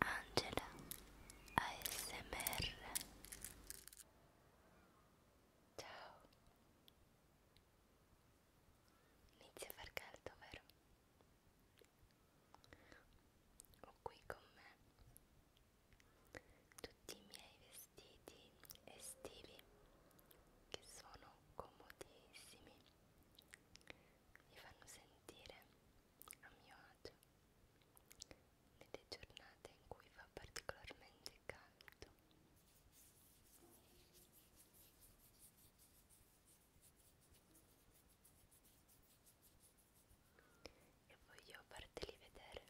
Angela ASMR Ciao Inizia a far caldo vero? Ho qui con me tutti i miei vestiti estivi che sono comodissimi mi fanno sentire a mio agio nelle giornate in cui fa particolarmente caldo. E voglio farteli vedere,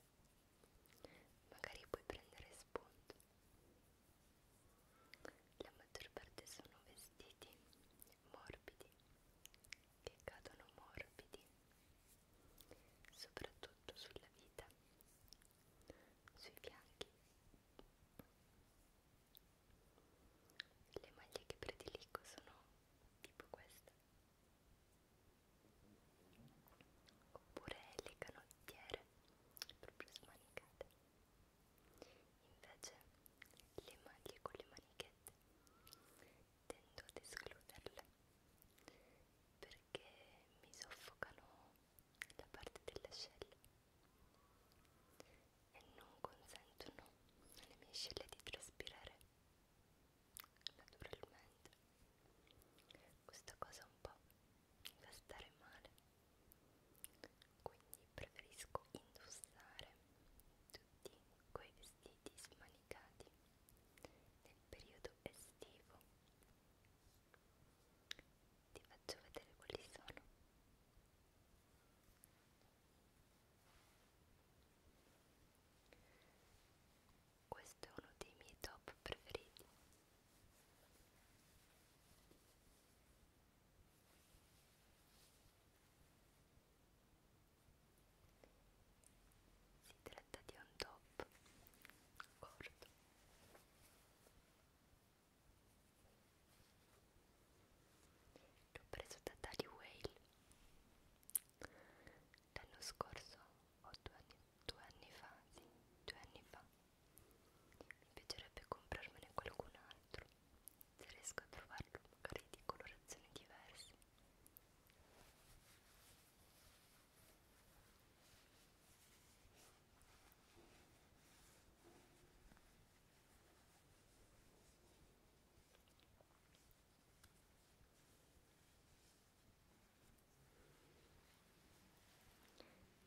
magari puoi prendere spunto. La maggior parte sono vestiti morbidi che cadono morbidi soprattutto sulla vita sui fianchi le maglie che prediligo sono tipo questa oppure le canottiere proprio smanicate Invece le maglie con le manichette tendo ad escluderle perché mi soffocano la parte delle ascelle e non consentono alle mie ascelle di traspirare naturalmente. Questa cosa un po' mi fa stare male quindi preferisco indossare tutti quei vestiti smanicati nel periodo estivo ti faccio vedere quali sono questo è uno dei miei top preferiti si tratta di un top corto. L'ho preso da Tally Whale l'anno scorso o due anni, due anni fa, sì, due anni fa. Mi piacerebbe comprarmene qualcun altro se riesco a trovarlo magari di colorazioni diverse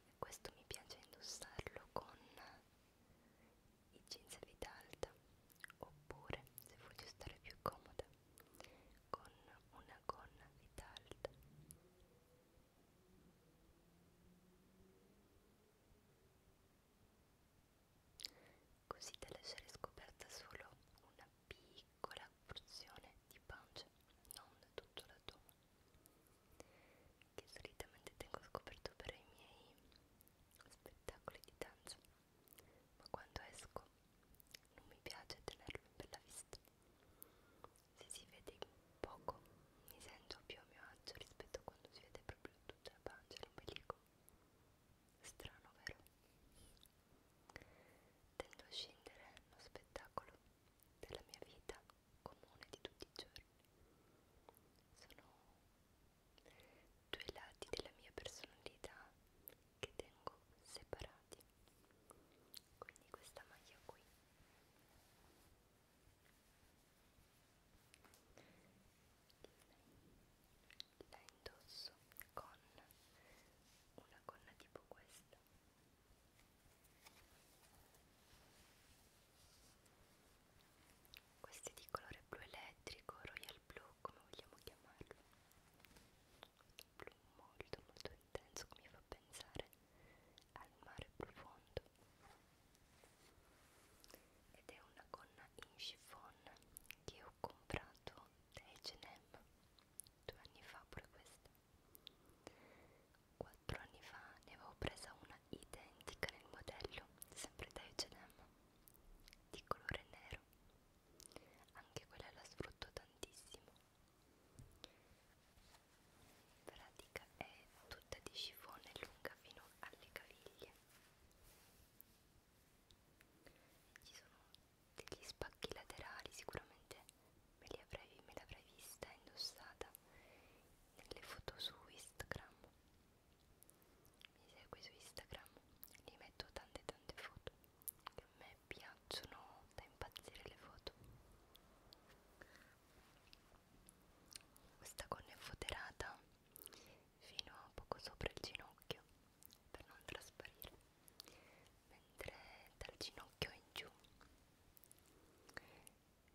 e questo mi piace indossarlo con i jeans a vita alta oppure se voglio stare più comoda con una gonna a vita alta così da lasciare scoperta solo una piccola porzione di pancia non tutto l'addome che solitamente tengo scoperto per i miei spettacoli di danza ma quando esco non mi piace tenerlo in bella vista se si vede poco mi sento più a mio agio rispetto a quando si vede proprio tutta la pancia l'ombelico strano vero? tendo a scindere lo spettacolo della mia vita comune di tutti i giorni. Sono due lati della mia personalità che tengo separati. Quindi questa maglia qui la indosso con una gonna tipo questa questi di colore blu elettrico royal blue come vogliamo chiamarlo blu molto molto intenso che mi fa pensare al mare profondo ed è una gonna in chiffon che ho comprato da H&M due anni fa pure questa 4 anni fa ne avevo presa una identica nel modello, sempre da H&M, di colore nero. Anche quella la sfrutto tantissimo. Pratica è tutta di scifone lunga fino alle caviglie. Ci sono degli spacchi laterali, sicuramente me l'avrei vista indossata le foto su Instagram mi segui su Instagram li metto tante tante foto che a me piacciono da impazzire le foto questa gonna è foderata fino a poco sopra il ginocchio per non trasparire mentre dal ginocchio in giù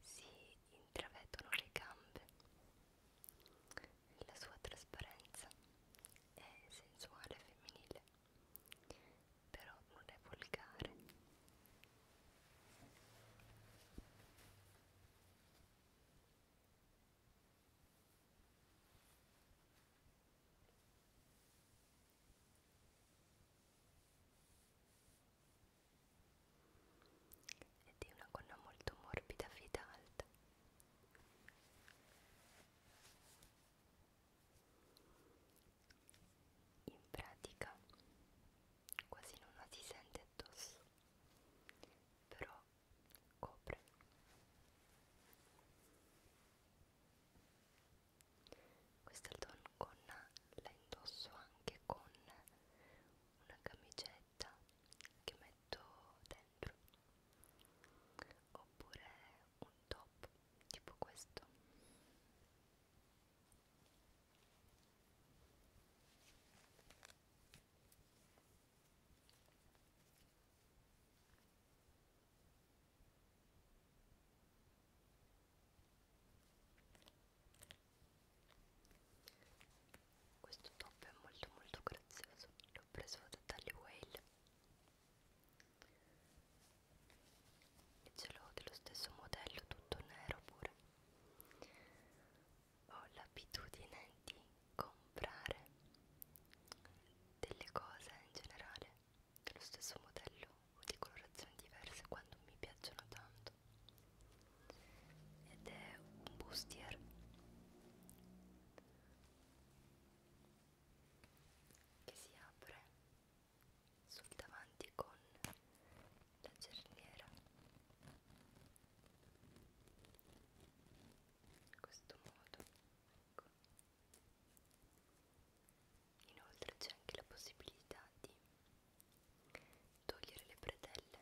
si intravedono le gambe. La sua trasparenza è sensuale e femminile, però non è volgare ed è una gonna molto morbida fida alta in pratica quasi non la si sente addosso però copre questo è il tono gonna la indosso anche con una camicetta che metto dentro oppure un top tipo questo questo top è molto molto grazioso, l'ho preso da Tally Whale e ce l'ho dello stesso modello, tutto nero pure. Ho l'abitudine di comprare delle cose in generale dello stesso modello o di colorazioni diverse quando mi piacciono tanto ed è un bustier che si apre sul davanti con la cerniera in questo modo ecco. inoltre c'è anche la possibilità di togliere le bretelle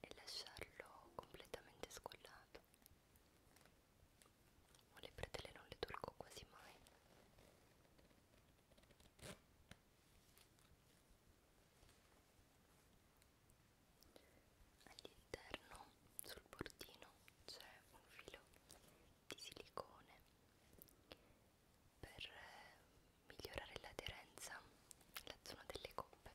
e lasciarlo completamente scollato. O le bretelle non le tolgo quasi mai. All'interno sul bordino c'è un filo di silicone per eh, migliorare l'aderenza alla zona delle coppe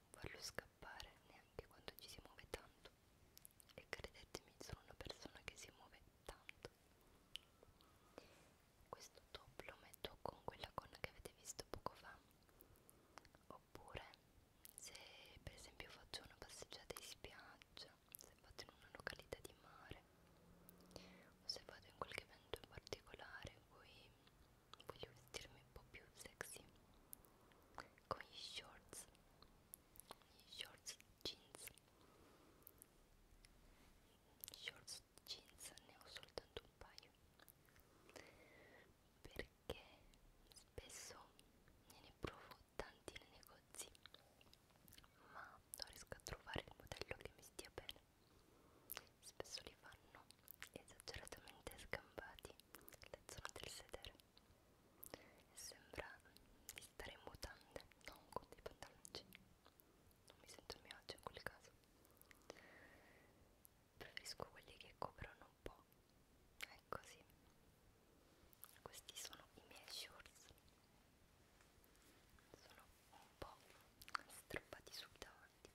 non farlo scappare neanche quando ci si muove tanto e credetemi sono una persona che si muove tanto questo top lo metto con quella gonna che avete visto poco fa oppure se per esempio faccio una passeggiata in spiaggia strana se vado in una località di mare o se vado in qualche evento in particolare in cui voglio vestirmi un po' più sexy con gli shorts gli shorts jeans gli shorts jeans ne ho soltanto un paio perché spesso ne, ne provo tanti ne, ne negozi ma non riesco a trovare il modello che mi stia bene spesso li fanno esageratamente sgambati la zona del sedere e sembra di stare in mutande non con dei pantaloncini non mi sento a mio agio in quel caso preferisco quelli che coprono un po' è così questi sono i miei shorts sono un po' strappati sul davanti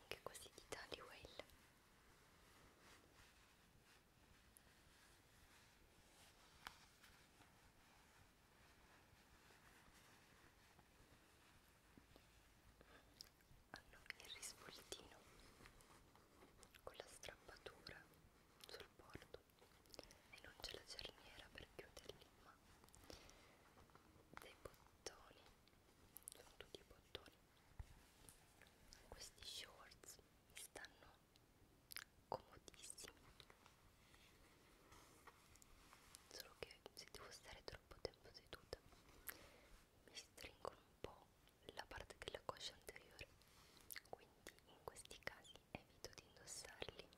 anche questi di Tallywell hanno il risvoltino con la strappatura sul bordo e non c'è la cerniera per chiuderli ma dei bottoni sono tutti i bottoni questi shorts mi stanno comodissimi solo che se devo stare troppo tempo seduta mi stringono un po' la parte della coscia anteriore quindi in questi casi evito di indossarli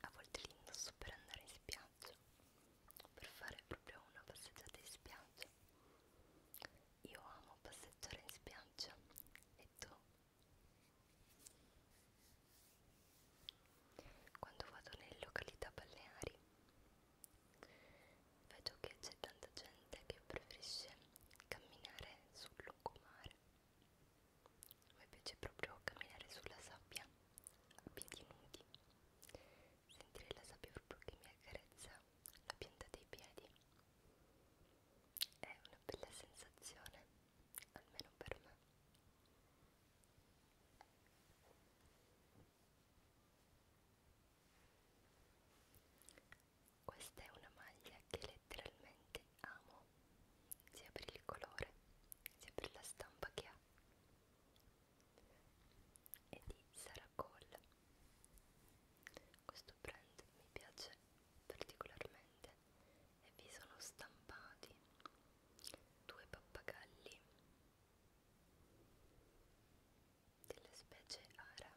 a volte li indosso per andare in spiaggia per fare proprio una passeggiata in spiaggia io amo passeggiare in spiaggia e tu? Quando vado nelle località balneari Vedo che c'è tanta gente che preferisce camminare sul lungomare. A me piace proprio camminare sulla sabbia a piedi nudi. Sentire la sabbia proprio che mi accarezza la pianta dei piedi. È una bella sensazione, almeno per me. Questa è una maglia che letteralmente amo, sia per il colore, sia per la stampa che ha. È di Sarah Cole. Questo brand mi piace particolarmente e vi sono stampati due pappagalli delle specie ara.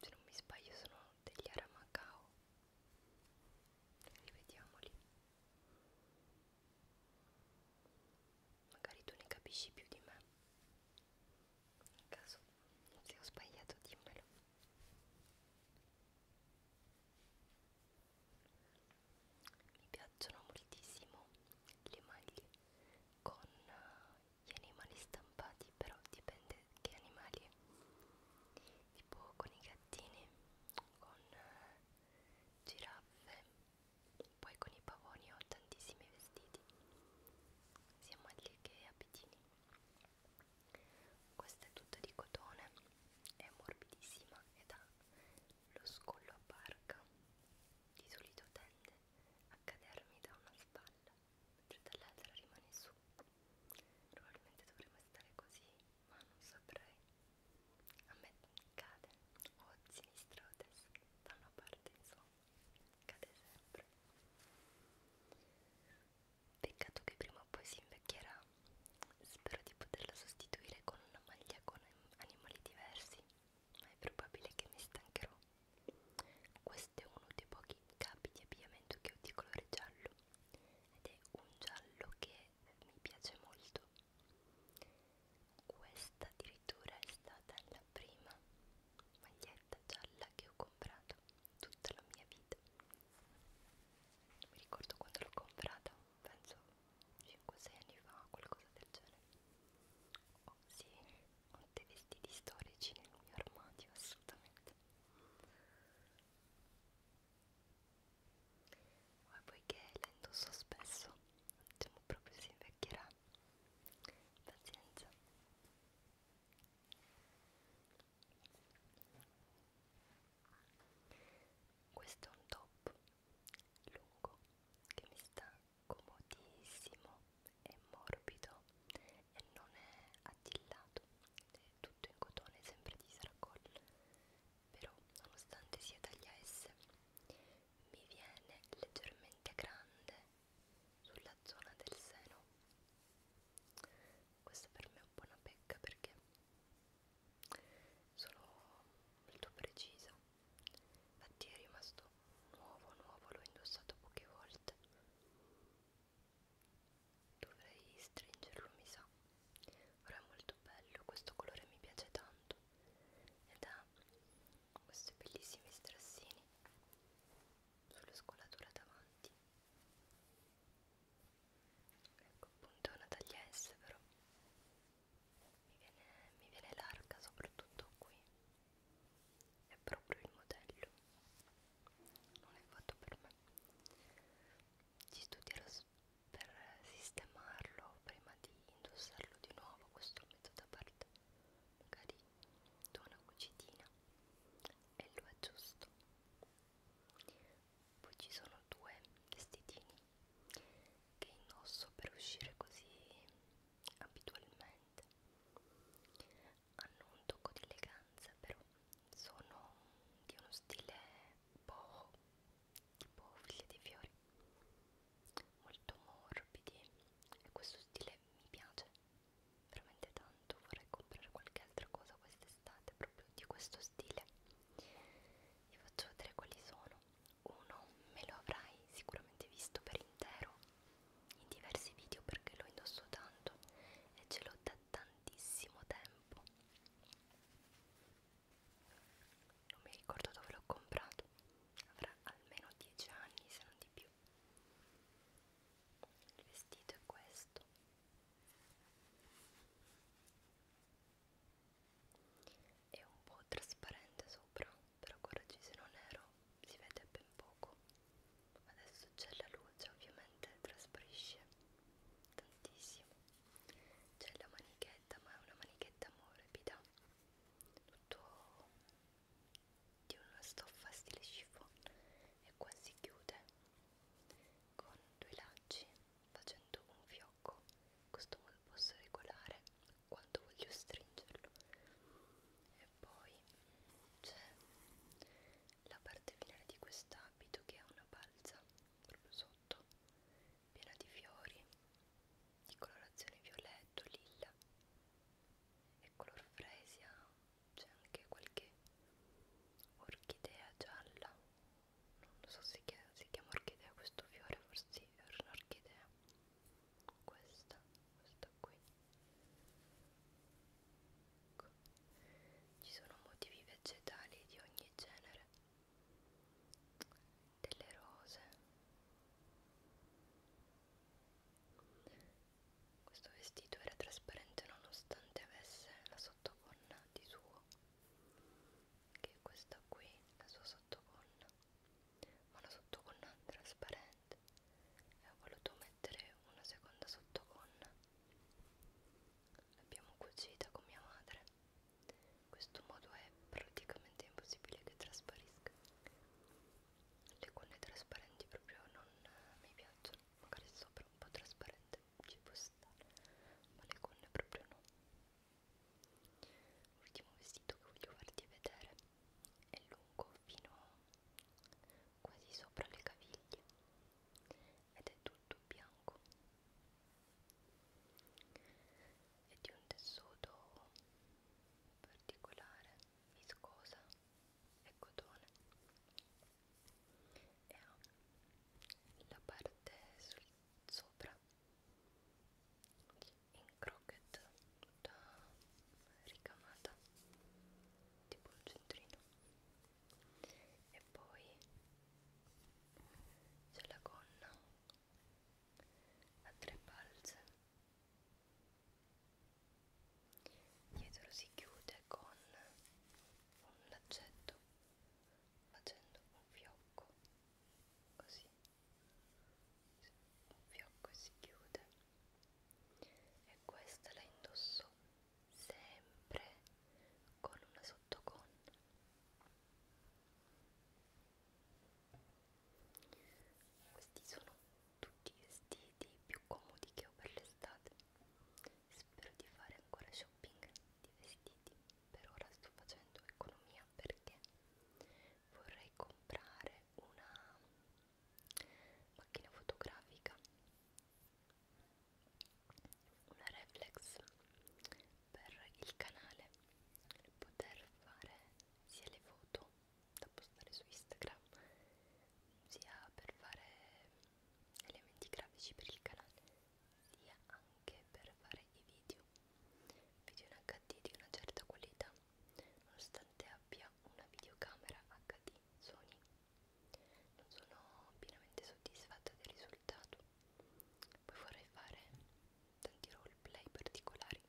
Se non mi sbaglio sono degli ara Macao. Rivediamoli. Magari tu ne capisci più di me. In caso se ho sbagliato dimmelo mi piacciono moltissimo le maglie con eh, gli animali stampati però dipende che animali tipo con i gattini con eh, giraffe poi con i pavoni ho tantissimi vestiti sia maglie che abitini questa è tutta di cotone, è morbidissima ed ha lo scollo a barca. Di solito tende a cadermi da una spalla, mentre dall'altra rimane su. Probabilmente dovremmo stare così, ma non saprei. A me cade o a sinistra o a destra, da una parte insomma, cade sempre. Peccato che prima o poi si invecchierà. Spero di poterla sostituire con una maglia con animali diversi, ma è probabile che mi stancherò. Questo è uno dei pochi capi di abbigliamento che ho di colore giallo ed è un giallo che mi piace molto. Questa addirittura è stata la prima maglietta gialla che ho comprato tutta la mia vita non mi ricordo quando l'ho comprata penso 5-6 anni fa qualcosa del genere oh sì ho dei vestiti storici nel mio armadio assolutamente ma poiché la indosso spesso diciamo proprio si invecchierà pazienza questo è un top lungo che mi sta comodissimo è morbido e non è attillato è tutto in cotone sempre di saracol però nonostante sia taglia S mi viene leggermente grande sulla zona del seno questa per me è un po' una pecca perché sono molto precisa. Infatti è rimasto nuovo, nuovo, l'ho indossato poche volte. Dovrei stringerlo, mi sa. Ora è molto bello, questo colore mi piace tanto ed ha questi bellissimi strassini sulla scolatura davanti ecco appunto è una taglia S però mi viene, mi viene larga soprattutto qui è proprio il modello non è fatto per me ci studierò per sistemarlo prima di indossarlo di nuovo questo lo metto da parte magari tuona cucitina e lo aggiusto poi ci sono due vestitini che indosso per uscire così abitualmente hanno un tocco di eleganza però sono di uno stile boho tipo figlie di fiori molto morbidi e questo stile mi piace veramente tanto vorrei comprare qualche altra cosa quest'estate proprio di questo stile vi faccio vedere quali sono uno me lo avrai sicuramente visto per intero in diversi video perché lo indosso tanto e ce l'ho da tantissimo tempo non mi ricordo dove l'ho comprato avrà almeno 10 anni se non di più il vestito è questo è un po' trasparente sopra però guardaci se non nero si vede ben poco adesso c'è la luce ovviamente trasparisce tantissimo c'è la manichetta ma è una manichetta morbida tutto di una stoffa stile chiffon e qua si chiude con due lacci facendo un fiocco questo me lo posso regolare quando voglio stringerlo e poi c'è la parte finale di quest'abito che ha una balza proprio sotto piena di fiori di colorazione violetto, lilla e color fresia c'è anche qualche orchidea gialla non so se si, si chiama orchidea questo fiore forse è un'orchidea questa questa qui ecco. ci sono motivi vegetali di ogni genere delle rose questo vestito era trasparente nonostante avesse la sottoponna di suo, che è questa qui, la sua sottoponna, ma una sottoponna trasparente e ho voluto mettere una seconda sottoponna. L'abbiamo cucita con mia madre. In questo modo è praticamente impossibile che trasparisca le quelle trasparenti proprio non eh, mi piacciono magari sopra un po' trasparente ci può stare ma le conne proprio no l'ultimo vestito che voglio farti vedere è lungo fino quasi sopra le caviglie ed è tutto bianco è di un tessuto particolare viscosa è cotone e ha la parte sul, sopra in croquet tutta ricamata tipo il centrino e poi c'è la gonna a tre balze Dietro si chiude con un laccetto facendo un fiocco così un fiocco e si chiude e questa la indosso sempre con una sottoconna questi sono tutti i vestiti più comodi che ho per l'estate spero di fare ancora shopping di vestiti per ora sto facendo economia perché vorrei comprare una macchina fotografica una reflex per il canale per poter fare sia le foto da postare su Instagram sia per fare elementi grafici per il canale sia anche per fare i video video in HD di una certa qualità nonostante abbia una videocamera HD Sony non sono pienamente soddisfatta del risultato poi vorrei fare tanti roleplay particolari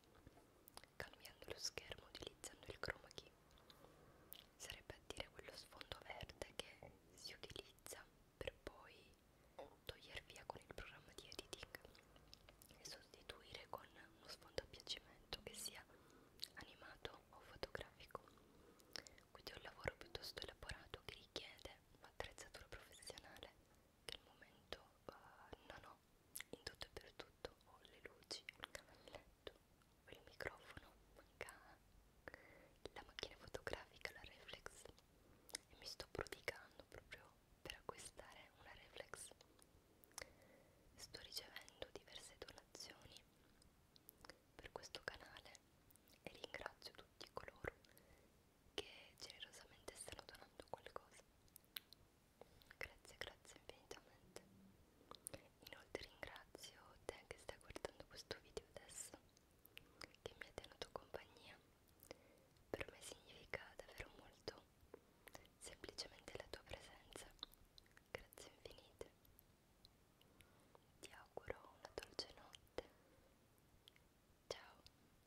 cambiando lo schermo utilizzando il chroma key sarebbe a dire quello sfondo verde che si utilizza per poi togliere via con il programma di editing e sostituire con uno sfondo a piacimento che sia animato o fotografico quindi è un lavoro piuttosto elaborato che richiede un'attrezzatura professionale che al momento uh, non ho in tutto e per tutto ho le luci, il cavalletto, il microfono, manca la macchina fotografica, la reflex e mi sto prodigando proprio per acquistare una reflex sto ricevendo diverse donazioni per questo canale e ringrazio tutti coloro che generosamente stanno donando qualcosa Grazie, grazie infinitamente. Inoltre ringrazio te che stai guardando questo video adesso, che mi ha tenuto compagnia. Per me significa davvero molto semplicemente la tua presenza. Grazie infinite. Ti auguro una dolce notte. Ciao.